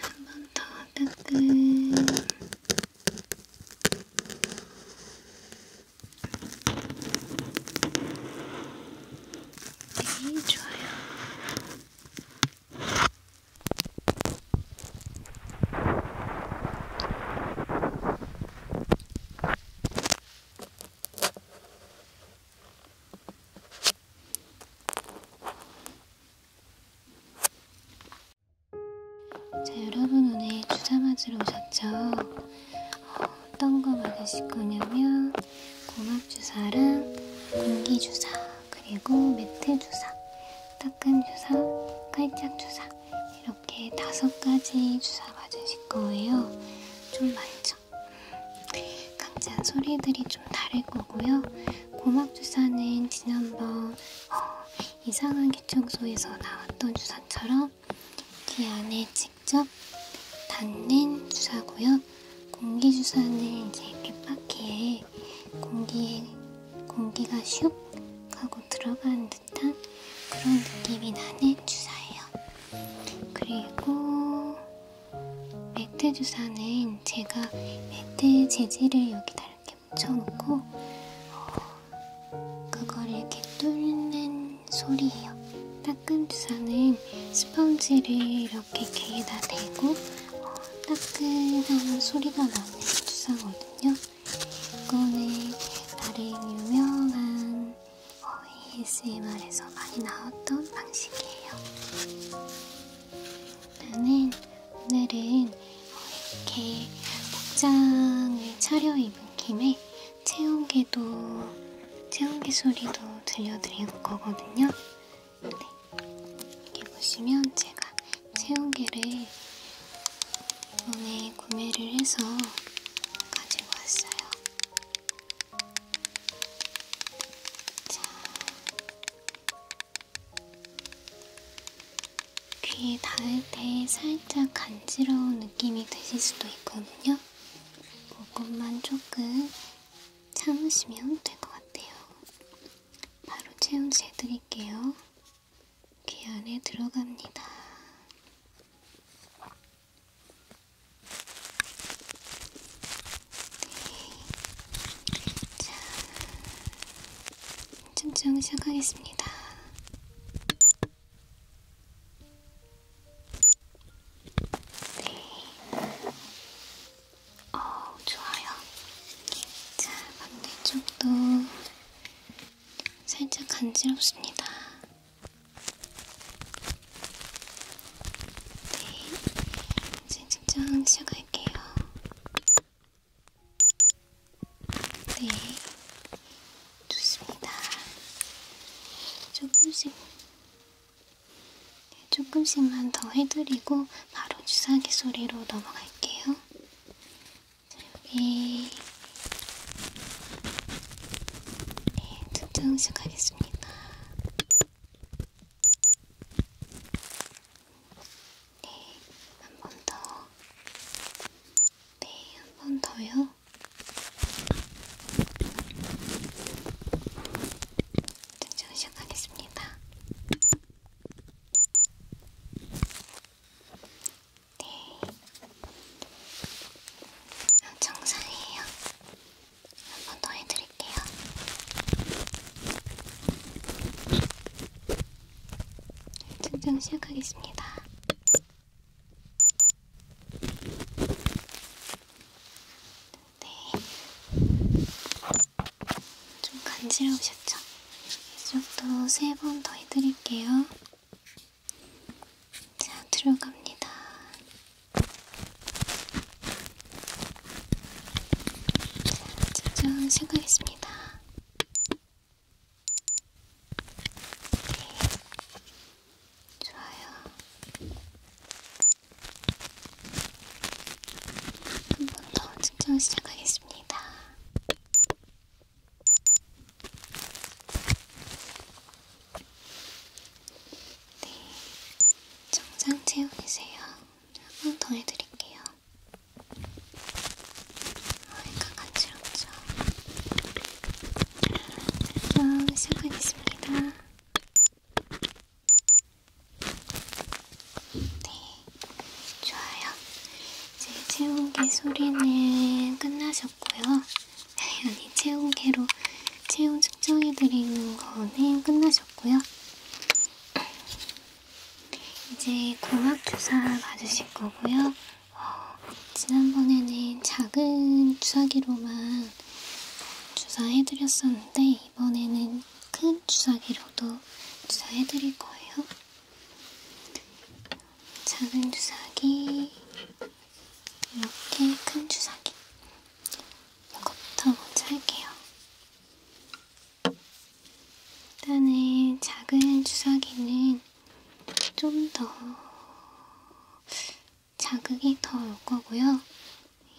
한 번더 따끔 네, 좋아요. 자 여러분 오늘 주사 맞으러 오셨죠? 어, 어떤 거 맞으실 거냐면 고막 주사랑 공기 주사 그리고 매트 주사 따끔 주사 깔짝 주사 이렇게 다섯 가지 주사 맞으실 거예요. 좀 많죠? 깜짝 네, 소리들이 좀 다를 거고요. 고막 주사는 지난번 어, 이상한 개청소에서 나왔던 주사처럼 귀 안에 직접 닿는 주사고요. 공기 주사는 이제 귓바퀴에 공기에 공기가 슉 하고 들어가는 듯한 그런 느낌이 나는 주사예요. 그리고 매트 주사는 제가 매트 재질을 여기다 이렇게 묻혀놓고 어, 그걸 이렇게 뚫는 소리예요. 따끔 주사는 스펀지를 이렇게 귀에다 대고 어, 따끈한 소리가 나는 주사거든요. 이거는 나름 유명한 ASMR에서 어, 많이 나왔던 방식이에요. 나는 오늘은 이렇게 복장을 차려입은 김에 체온계도, 체온계 소리도 들려드릴 거거든요. 네. 여기 보시면 제가 체온계를 오늘 구매를 해서 가지고 왔어요. 자, 귀에 닿을 때 살짝 간지러운 느낌이 드실 수도 있거든요. 그것만 조금 참으시면 될 것 같아요. 바로 체온 재드릴게요. 귀 안에 들어갑니다. 자, 집중 시작하겠습니다. 네. 어, 좋아요. 자, 반대쪽도 살짝 간지럽습니다. 네, 이제 집중 시작할게요. 네, 좋습니다. 조금씩, 네, 조금씩만 더 해드리고 바로 주사기 소리로 넘어갈게요. 자, 여기 네, 집중 시작하겠습니다. 네, 한 번 더. 네, 한 번 더요. 증정 시작하겠습니다. 네. 아, 정상이에요. 한번더 해드릴게요. 측정 시작하겠습니다. 네. 좀 간지러우셨죠? 이쪽도 세 번 더 해드릴게요. 자, 들어갑니다. 자, 직접 시작하겠습니다. 네. 좋아요. 한 번더 측정 시작하겠습니다. 네, 정상 체온이세요. 한 번 더 해드릴게요. 아이가 간지럽죠? 자, 아, 시작하겠습니다. 네, 좋아요. 이제 체온계 소리는 끝나셨고요. 아니 체온계로 체온 측정해드리는 거는 끝나셨고요. 이제 공학 주사 맞으실 거고요. 어, 지난번에는 작은 주사기로만 주사해드렸었는데 이번에는 큰 주사기로도 주사해드릴 거예요. 작은 주사기, 이렇게 큰 주사기. 이것부터 먼저 할게요. 일단은 작은 주사기는 좀 더 자극이 더 올 거고요.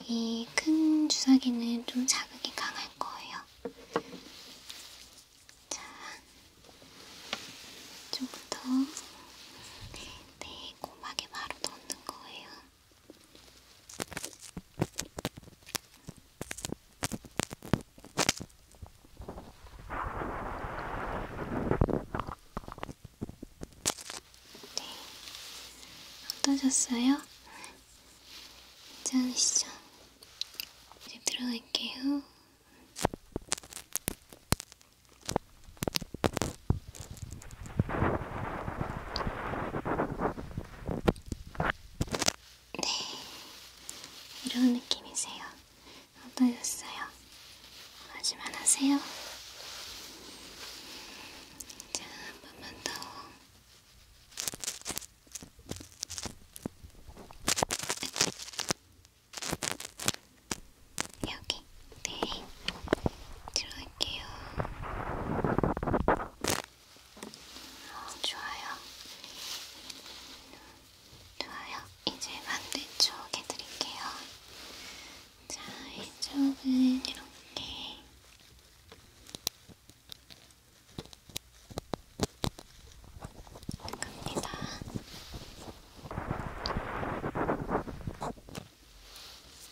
이 큰 주사기는 좀 자극이 강할 거예요. 자, 이쪽부터. 네, 꼬막에 바로 넣는 거예요. 네, 어떠셨어요? 괜찮으시죠? 이제 들어갈게요. 네, 이런 느낌이세요. 어떠셨어요? 하지만 하세요. 자, 한 번만 더. 여기 네 들어갈게요. 어, 좋아요. 좋아요. 이제 반대쪽 해드릴게요. 자, 이쪽은 이렇게. 갑니다.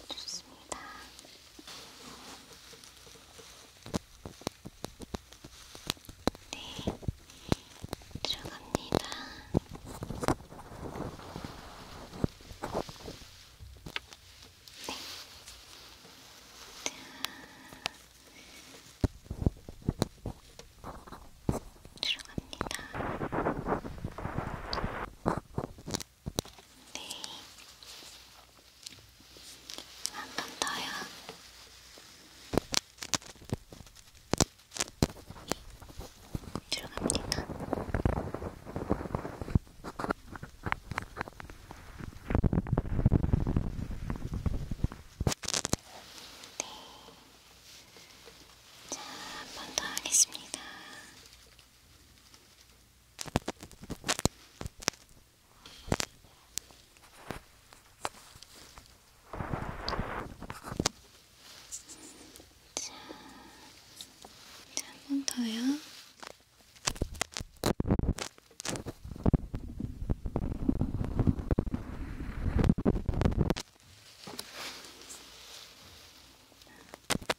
좋습니다. 네, 들어갑니다. 네. 들어갑니다. 네. 한 번 더요. 들어갑니다. 네. 자, 한 번 더 하겠습니다. 한번 더요.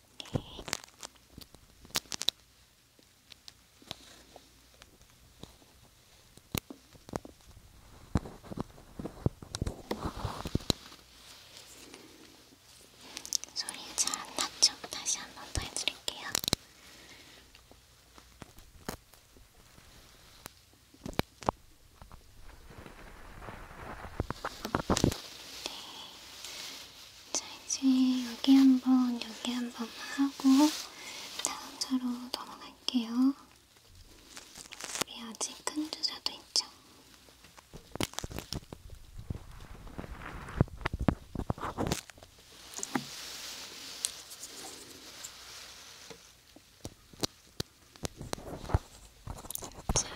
네. 소리 잘안 났죠? 다시 한 번 더 해드릴게요. 네. 자, 이제 여기 한 번, 여기 한 번만 하고 다음 차로 넘어갈게요. 우리 아직 큰 주사도 있죠? 자,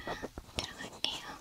들어갈게요.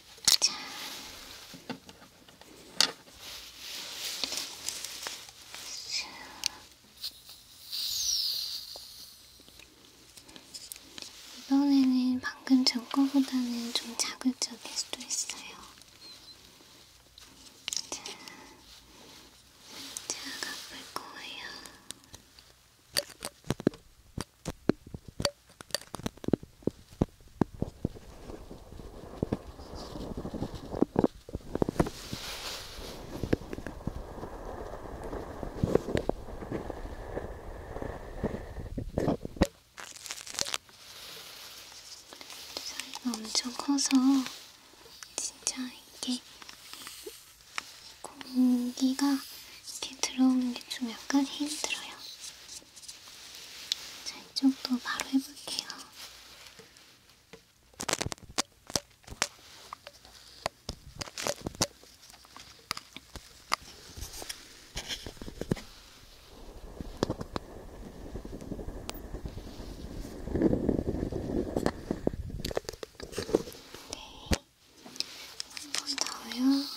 자. 이번에는 방금 전 거보다는 좀 자극적일 수도 있어요. 자, 제가 볼 거예요. 사이가 엄청 커서 진짜 이게 공기가 이렇게 들어오는 게 좀 약간 힘들어요. 자, 이쪽도 바로 해볼게요. 네, 한번 더요.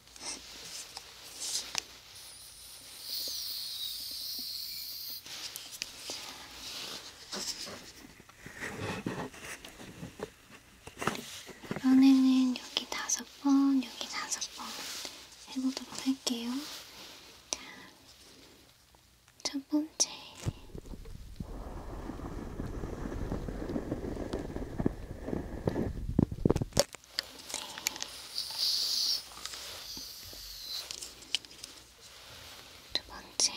이번에는 여기 다섯 번, 여기 다섯 번 해보도록 할게요. 자, 첫 번째. 네. 두 번째.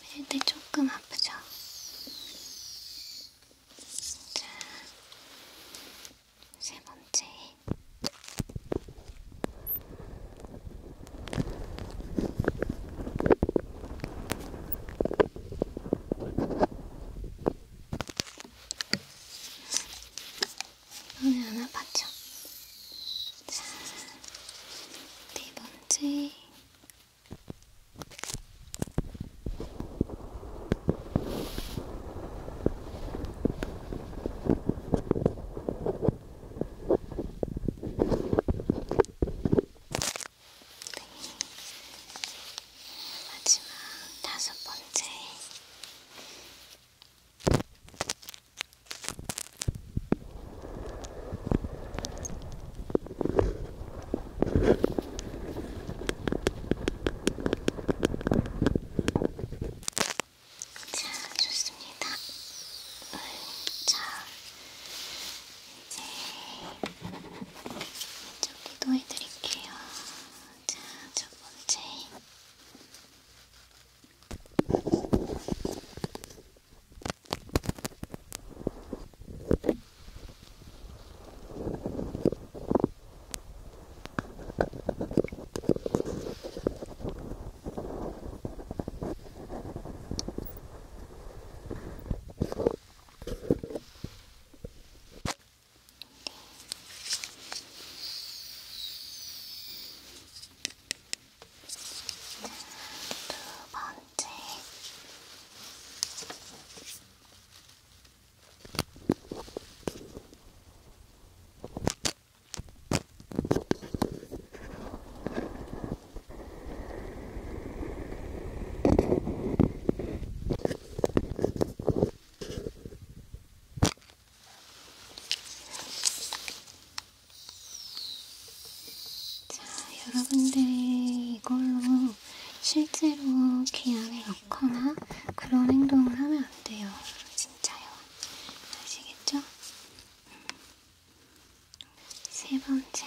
밀 네. 때 네, 조금 아프죠? 자, 세 번째. 오늘 하나 봤죠? 자, 네 번째. 마지막 다섯 번째. 자, 좋습니다. 음, 자, 이제 이쪽에도 해드릴게요. 자, 첫 번째. 자, 두 번째. 자, 여러분들이 이걸로 실제로 기한을 넣거나 그런 행동을 하면 안 돼요. 진짜요. 아시겠죠? 음. 세 번째.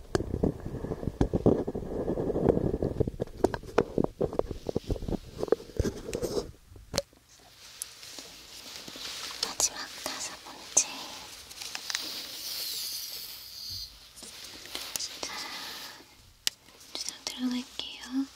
마지막 다섯 번째. 자, 주장 들어갈게요.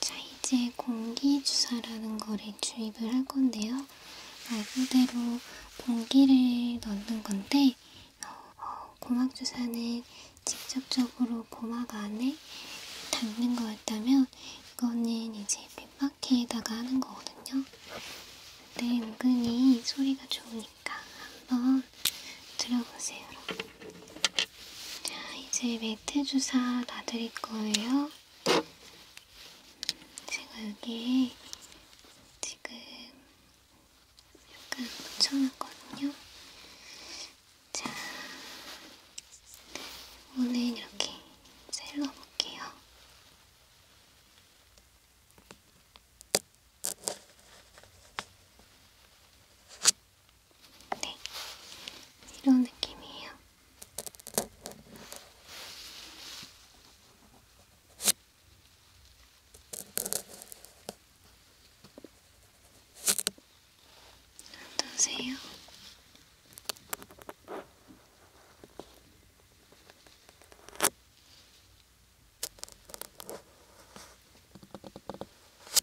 자, 이제 공기주사라는 거를 주입을 할 건데요. 말 그대로 공기를 넣는 건데, 어, 어 고막주사는 직접적으로 고막 안에 닿는 거였다면, 이거는 이제 빗바퀴에다가 하는 거거든요. 근데 네, 은근히 소리가 좋으니까 한번 한번 들어보세요, 여러분. 자, 이제 매트 주사 놔드릴 거예요. 제가 여기에 지금 약간 묻혀놨거든요. 자, 오늘 이렇게 셀러볼게요. 네, 이런 느낌이에요. 어떠세요?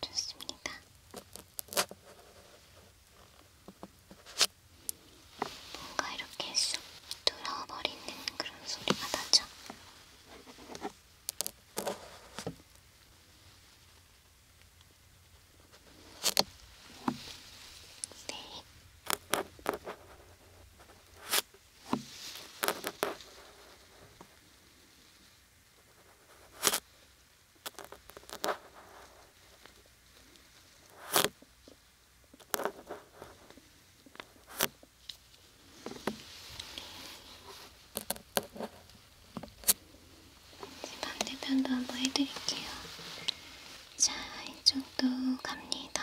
좋습니다. 뭔가 이렇게 쑥 뚫어버리는 그런 소리가 나죠? 네. 반대편도 한번 해드릴게요. 자, 이쪽도 갑니다.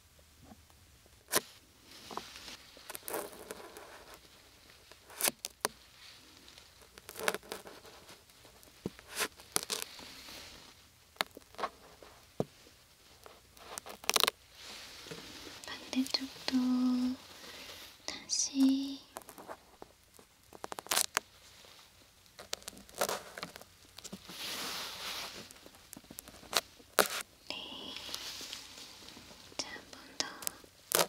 반대쪽도 다시 네. 자, 한번 더. 네.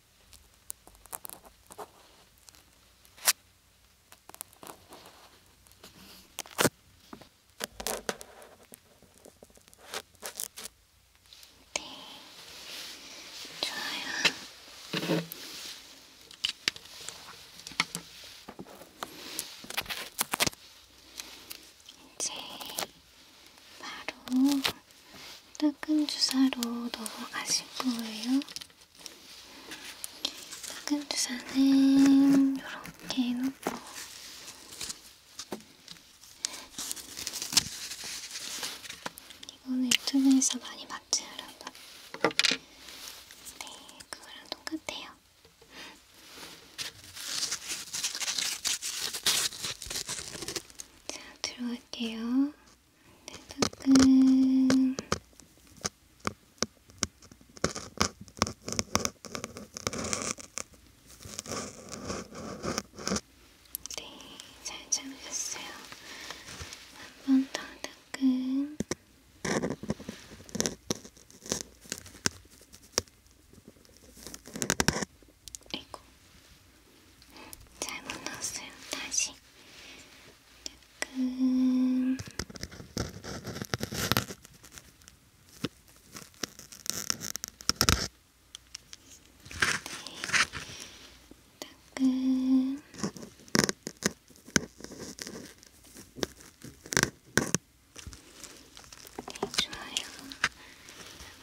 네, 좋아요. 이제 바로 따끔 주사로 넘어가실 거예요. 따끔 주사는 이렇게 놓고 이거는 유튜브에서 많이 봤지 여러분? 네, 그거랑 똑같아요. 자, 들어갈게요. 따끈 네, 잘 잠겼어요. 한 번 더 따끈 네, 아이고 잘못 넣었어요. 다시 조금 네, 조금 네, 좋아요.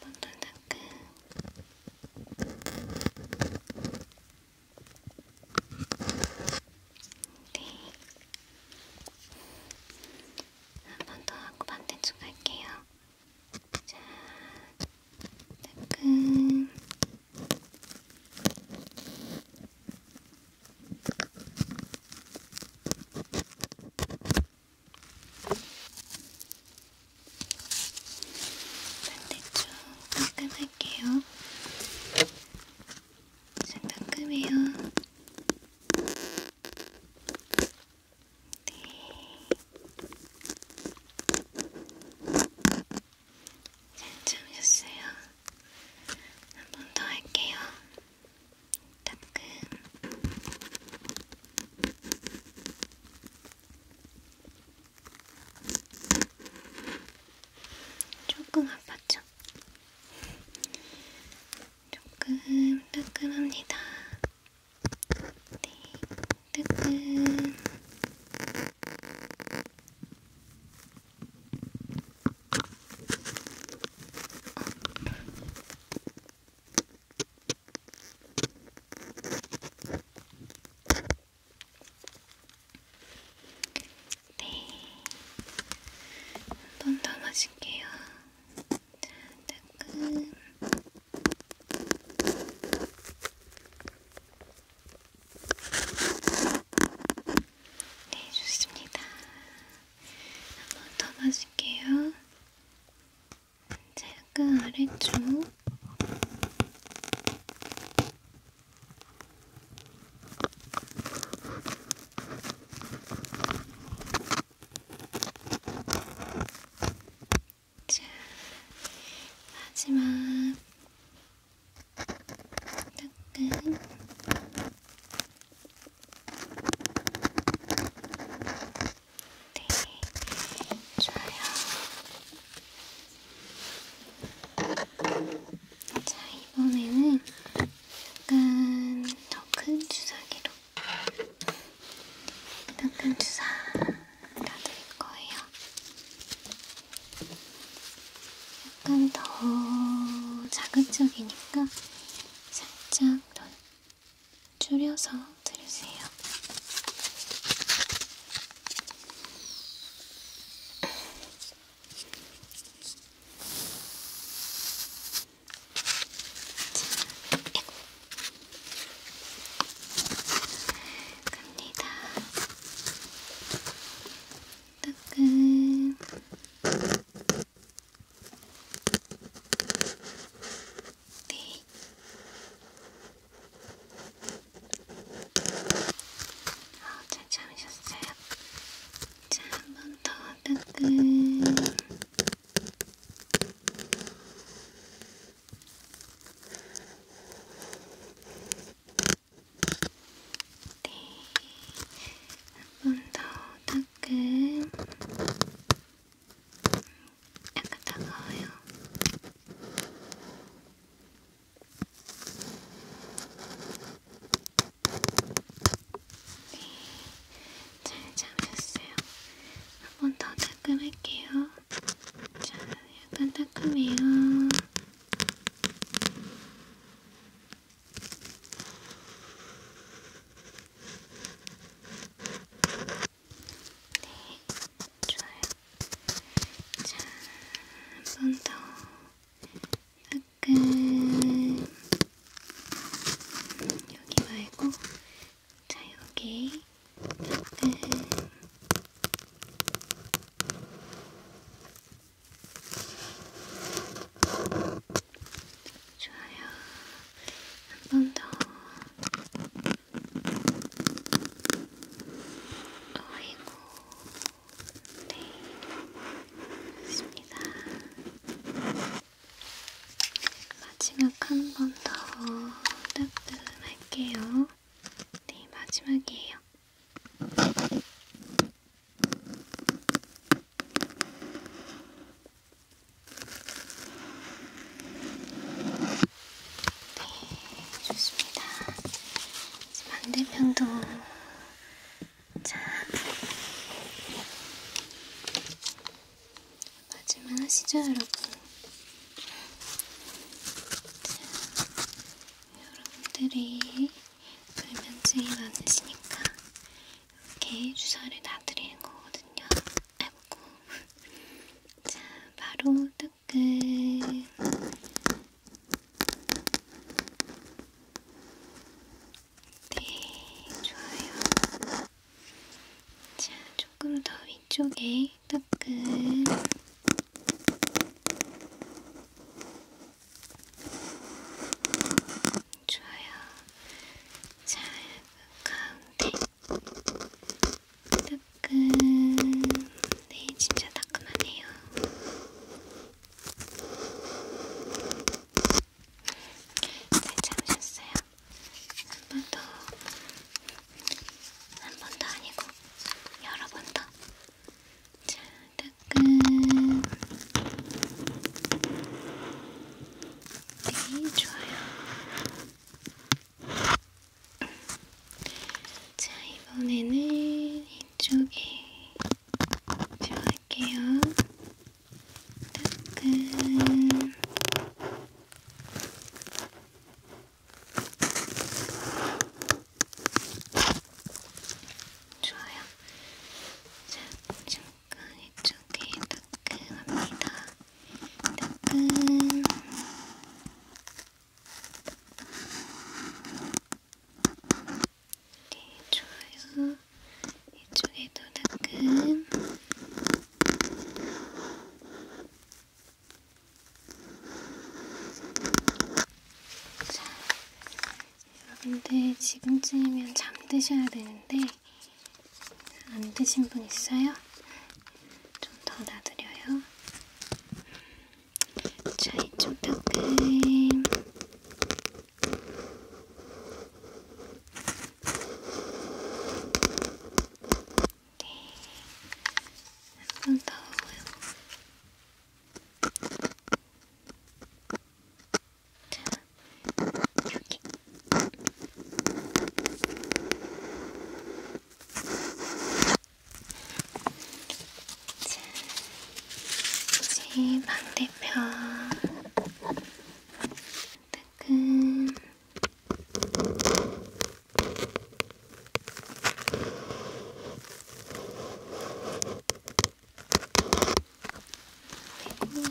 한 번더 닦음. 네. 한 번 더 하고 반대쪽 갈게요. 자, 따끔. 반대쪽 따끔할게요. 좀 따끔해요. 네. 잘 참으셨어요. 한 번 더 할게요. 따끔. 조금 아팠죠? 조금 따끔합니다. 네, 따끔. 어. 네. 한 번 더 마실게요. 따끔. 네, 좋습니다. 한 번 더 마실게요. 약간 아래쪽 자, 마지막 약간 네, 좋아요. 자, 이번에는 약간 더 큰 주사기로 더 큰 주사 놔둘 거예요. 약간 더 자극적이니까 살짝 더 줄여서 들으세요. 갑니다. 따끈. 네. 아, 잘 참으셨어요? 자, 한 번더 따끔. 네, 한 번더 따끔. 약간 차가워요. 네, 잘 잡으셨어요. 한 번 더 따끔할게요. 자, 약간 따끔해요. 네, 좋아요. 자, 한 번 더. 약간, 여기 말고, 자, 여기. 약간. 좋아요. 한 번 더. 아이고, 네, 좋습니다. 마지막 한 번더 따끔할게요. 네, 마지막이에요. 네, 좋습니다. 반대편도 자 마지막 하시죠, 여러분. 자, 여러분들이 불면증이 많으시니까 이렇게 주사를 다 드리는 거거든요. 아이고. 자, 바로 딱 조금 네. 네, 좋아요. 자, 조금 더 위쪽에 따끔 좋아요. 자, 가운데 따끈. 네, 진짜 따끈하네요. 잘 참으셨어요? 한 번 더. 한 번 더 아니고, 여러 번 더. 자, 따끈. 네, 좋아요. 자, 이번에는 이쪽에 들어갈게요. 따끈. 좋아요. 자, 잠깐 이쪽에 따끈합니다. 따끈 네, 좋아요. 이쪽에도 따끈 자, 여러분들 지금쯤이면 잠드셔야 되는데 안 드신 분 있어요? 좀더 놔드려요. 자, 이쪽 턱은 네, 한 번더 자, 여기 자, 이제 반대편 따끔 그리고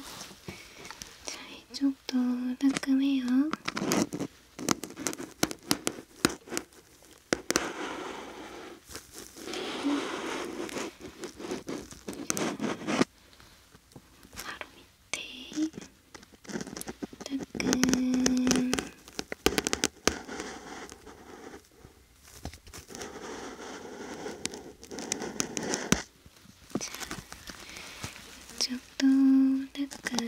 자 이쪽도 따끔해요. 바로 밑에 따끈 자, 이쪽 이것도 약간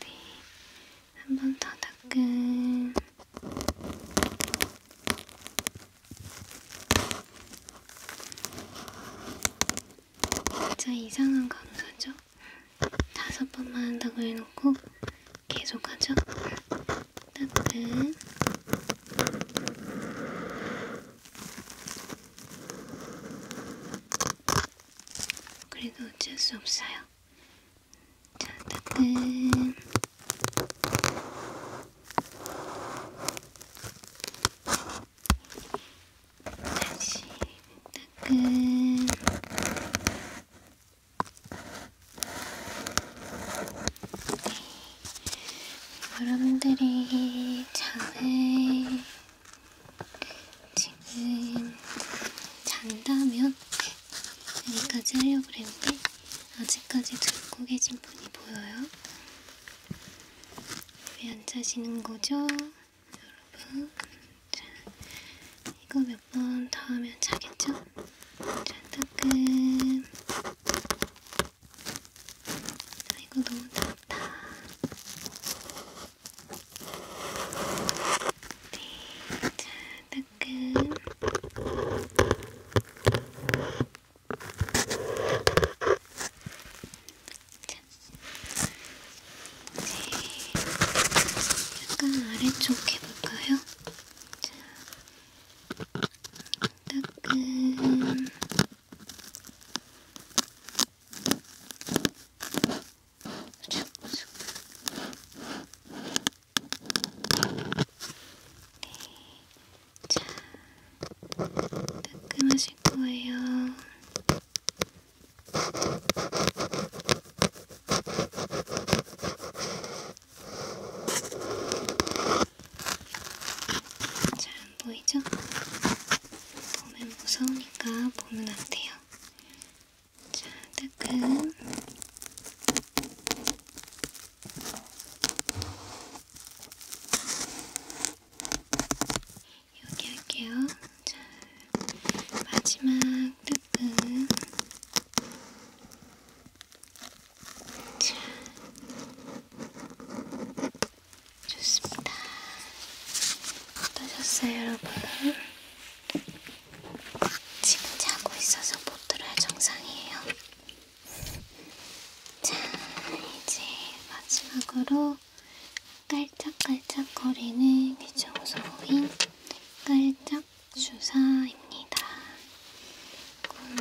네, 한 번 더 닦은 진짜 이상한 감사죠? 다섯 번만 한다고 해놓고 계속 하죠? 따뜻한 그래도 어쩔 수 없어요. 자, 따뜻한 다시 따끈 여러분들이 잠을 지금 잔다면 여기까지 하려고 그랬는데 아직까지 듣고 계신 분이 보여요? 왜 안 자시는 거죠? 여러분 자, 이거 몇 번 더 하면 자겠죠? 자, 따끔 아이고 너무 좋다. 네, 자 따끔. 자, 이제 약간 아래쪽 해볼까요? 자, 따끈. 쭉쭉. 네. 자, 따끔하실 거예요. 잘안 보이죠? 보면 무서우니까 보면 안 돼요. 자, 따끔. 여기 할게요. 자, 마지막 따끔. 자, 좋습니다. 어떠셨어요, 여러분? 지금 자고 있어서 못 들어야 정상이에요. 자, 이제 마지막으로 깔짝깔짝거리는 귀청소인 깔짝 주사입니다.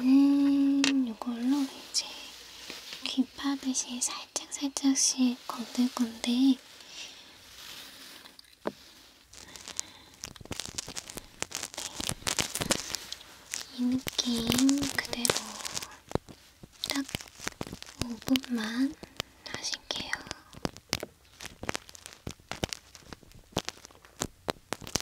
이거는 이걸로 이제 귀 파듯이 살짝살짝씩 건들 건데 이 느낌 그대로 딱 5분만 하실게요.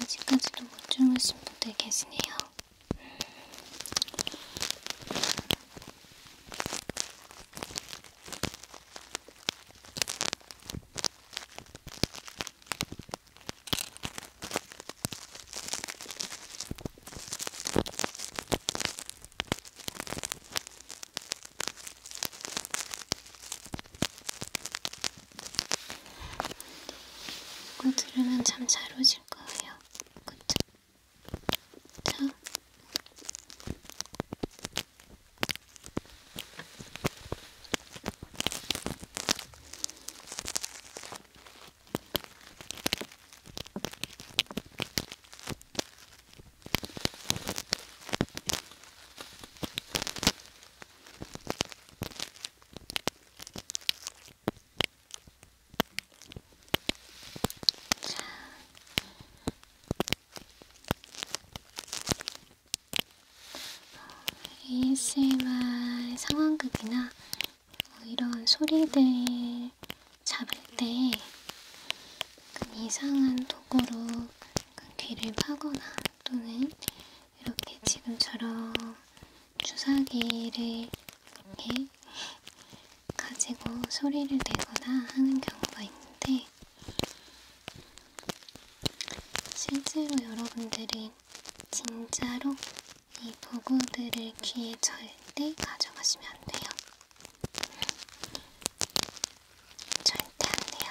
아직까지도 못 주무신 분들 계시네요. 이거 들으면 잠잘 오실 거예요. 그쵸? 자. ASMR 상황극이나 뭐 이런 소리들 잡을 때 그 이상한 도구로 귀를 파거나 또는 이렇게 지금처럼 주사기를 이렇게 가지고 소리를 내거나 하는 경우가 있는데 실제로 여러분들은 진짜로 이 도구들을 귀에 절대 가져가시면 안 돼요. 절대 안 돼요.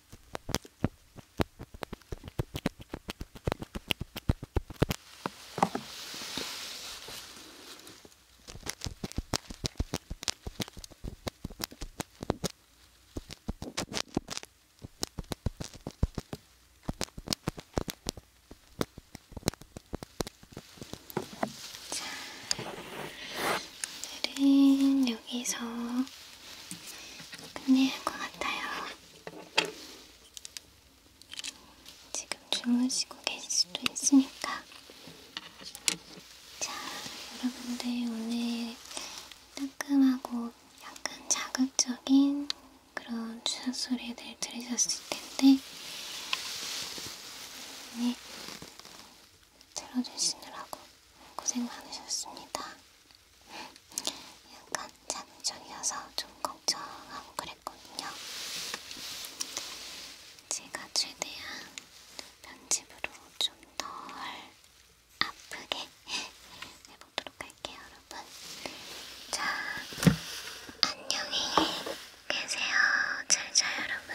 자, 오늘은 여기서 근데 고맙다요. 지금 주무시고 계실 수도 있으니까. 자, 여러분들 오늘 따끔하고 약간 자극적인 그런 주사 소리들 들으셨을 텐데 네, 들어주시느라고 고생 많으셨습니다. 약간 잠종이어서 좀 걱정하고 그랬거든요. 제가 최대한 편집으로 좀 덜 아프게 해보도록 할게요, 여러분. 자, 안녕히 계세요. 잘 자, 여러분.